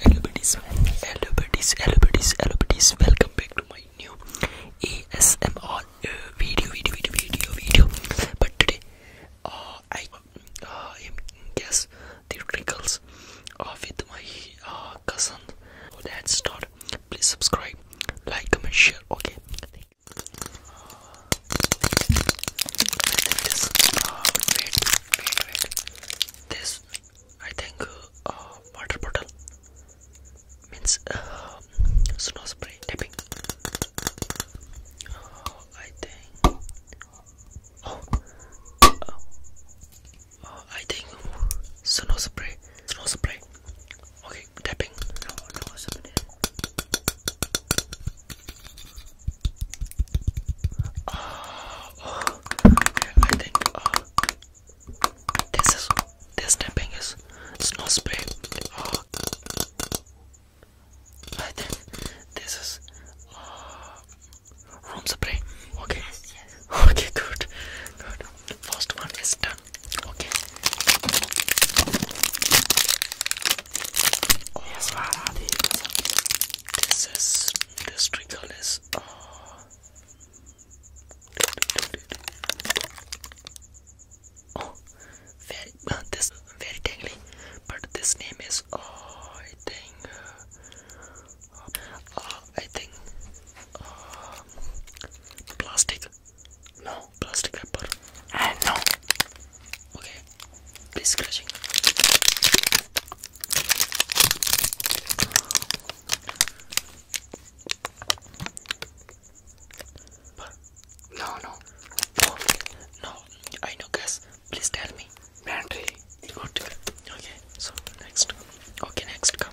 Hello buddies, hello buddies, hello buddies, hello buddies. Welcome back to my new ASMR uh, video, video, video, video, video. But today, uh, I uh, guess the wrinkles uh, with my uh, cousin. So let's start. Please subscribe, like, comment, share. Okay. Uh, this, I think, uh, water bottle means uh, snow spray tapping. Uh, I think. Oh, uh, I think snow spray, snow spray. Okay, tapping. Oh, oh, I think uh, this is this tapping is snow spray. Uh, I think this is uh, room spray. Okay, okay, good, good. First one is done. Okay. Oh, yes, what are these? This is this trickle is. Oh. oh, very uh, this very tingly, but this name is. Oh, I think. Uh, uh, I think. Uh, plastic. No plastic wrapper. Ah, no. Okay. Please scratching. But no, no, no, no. I know, guys. Please tell me. Battery. Good. Okay. So next. Okay, next come.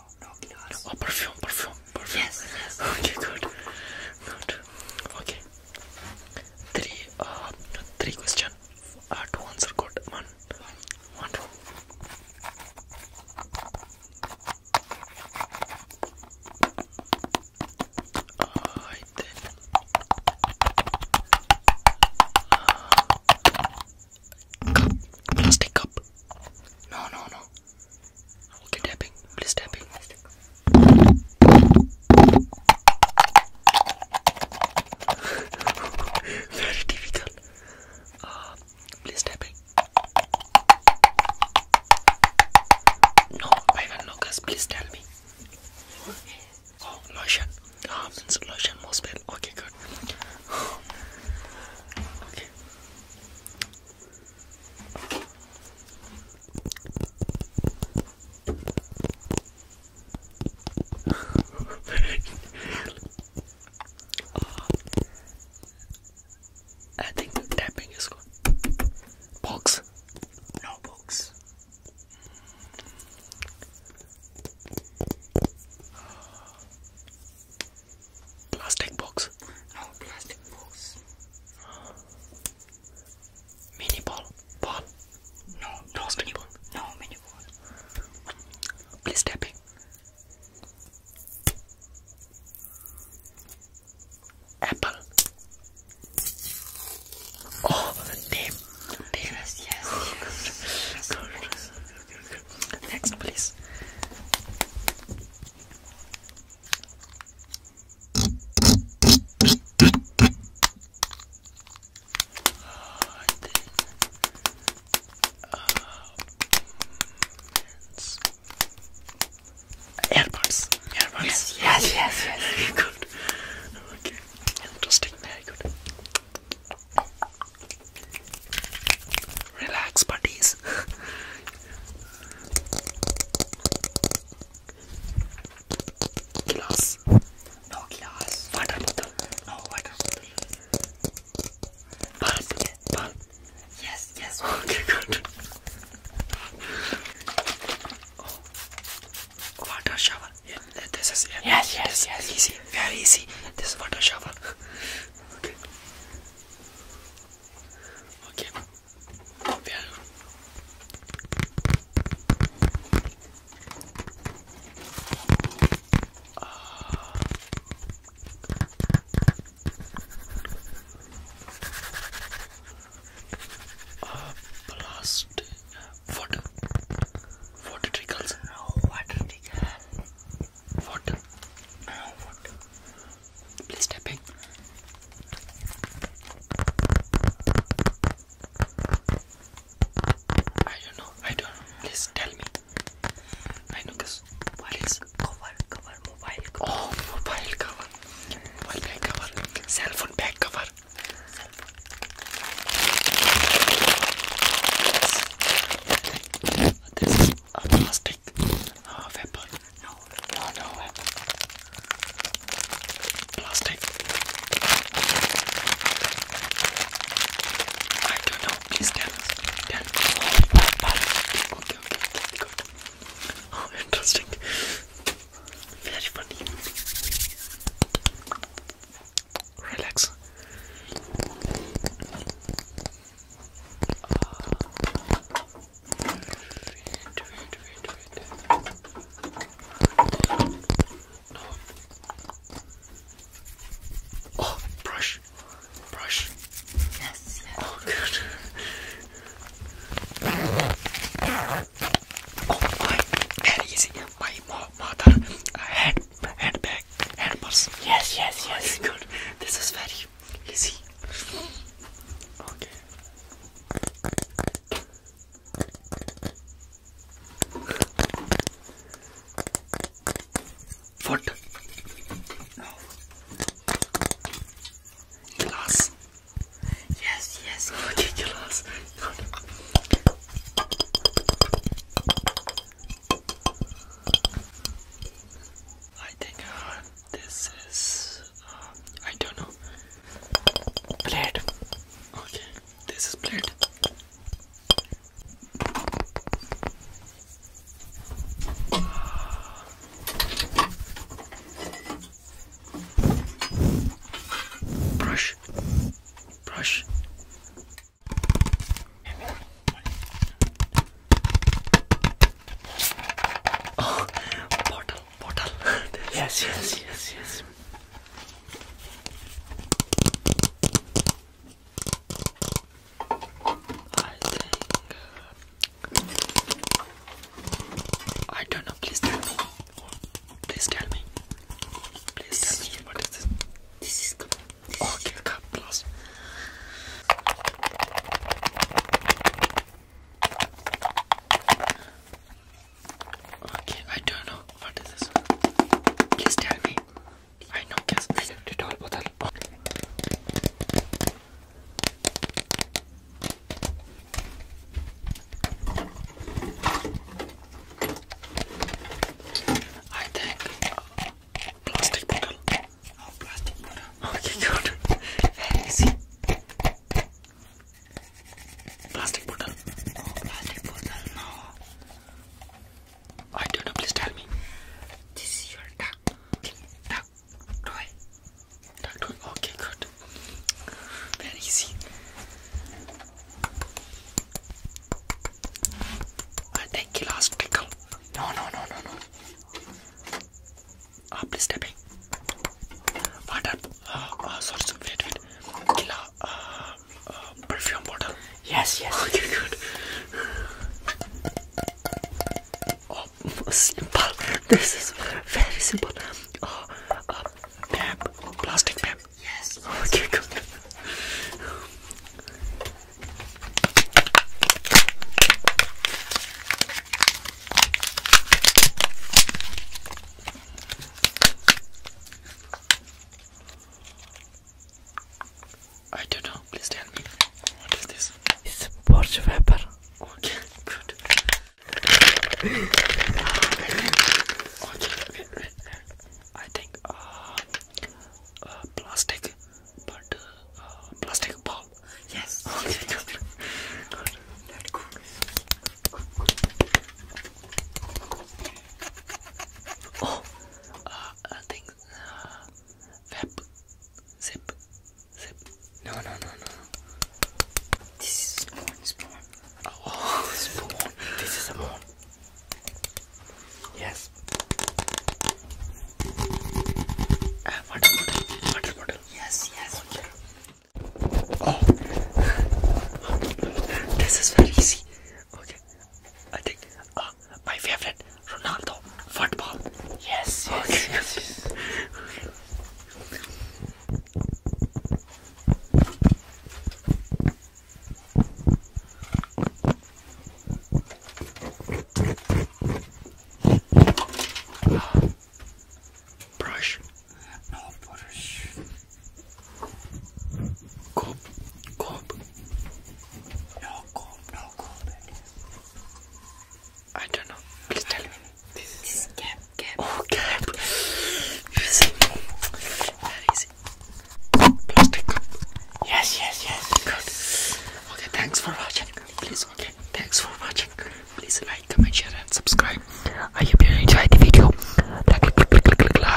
oh, perfume, perfume, perfume. Yes, yes. Okay, good, good. Okay. Three, uh, three question. Uh, two answer good. One, one, two. I then. Uh, Cup. Plastic cup. No, no, no. Okay, tapping. Please tapping. Very difficult. Uh, please tapping. No, Ivan Lucas, please tell me. Oh, lotion. Ah, oh, lotion, most people Okay, good. okay. uh, I think tapping is good. Box? No box. Plastic box. Oh, plastic box. Mini ball. Ball. No, no plastic mini ball. No mini ball. Please tapping. Apple. Oh, they Yes, yes, yes. Next, please. Oh, and yes, yes. yes. good. Okay. Interesting. Very good. Relax, buddies. glass. No glass. Water bottle. No water bottle. Yes, yes. Okay, good. Oh. Water shower yes, yes, yes. easy, very easy. This is water shower. okay. Okay. Yeah. Uh, uh, water, water trickles, water trickle, water, water. Please tap in. I don't know. I don't. Please tell me. I know, cause what is cover, cover, mobile Oh, mobile cover, mobile cover, cell phone back cover. This is a plastic uh, weapon. No, not a weapon. Plastic. I don't know. Please tell us. Tell us. Oh, okay, okay, okay, good. Oh, interesting. Very funny. Relax. Uh, wait, wait, wait, wait. No. Oh, brush, brush. Yes. yes. Oh, good. Oh my, easy. My mother had handbag, hand purse. Yes, yes, yes. good. This is very easy. Okay. Foot. Glass. Yes, yes, cookie glass. I think uh, this is. Uh, I don't know. Bread. Okay, this is bread. Brush. Brush. Oh, bottle, bottle. yes, yes, yes, yes. I think uh, I don't know. Please tell me. Please tell me. Please tell What is this? This is cup. Okay, cup Okay, I don't know. What is this? Please tell me. I know. Guess. This is a bottle. I think uh, plastic bottle. Oh, plastic bottle. Okay, good. Very easy. Plastic bottle. Oh, plastic bottle. No. I don't know. Please tell me. This is your duck. Duck. Doing? Not doing? Oh, okay, good. Very easy. I think you last pickle. No, no, no, no, no. Ah, please stepping. Water. Uh, uh, sorry, sorry, wait, wait. Killa, uh, uh, perfume bottle. Yes, yes. Okay, good. Oh, simple. This is very simple. Oh, uh, ma'am, plastic ma'am. Yes. Okay, good. I don't know. Please tell me. What is this? It's a Weber. Okay, good. okay, okay, I think uh, uh plastic, but uh, uh, plastic ball. Yes. Okay, good. good. Oh, uh, I think. Zip, Zip. Zip. No, no, no, no. This is spawn, spawn. Oh, spawn. This is a spawn. Yes. Uh, water bottle. Water Yes, yes. Water. Oh. this is very easy. Okay. I think. Uh, my favorite. Ronaldo, football. Yes, yes. brush. No brush. Cob, cob. No cob, no cob. I don't know. Please tell me. This, cap, cap. Oh, cap. Plastic Yes, yes, yes. Okay, thanks for watching. Please, okay. Thanks for watching. Please like, comment, share, and subscribe. I hope you enjoyed the video. Like, click, click, click, click, like.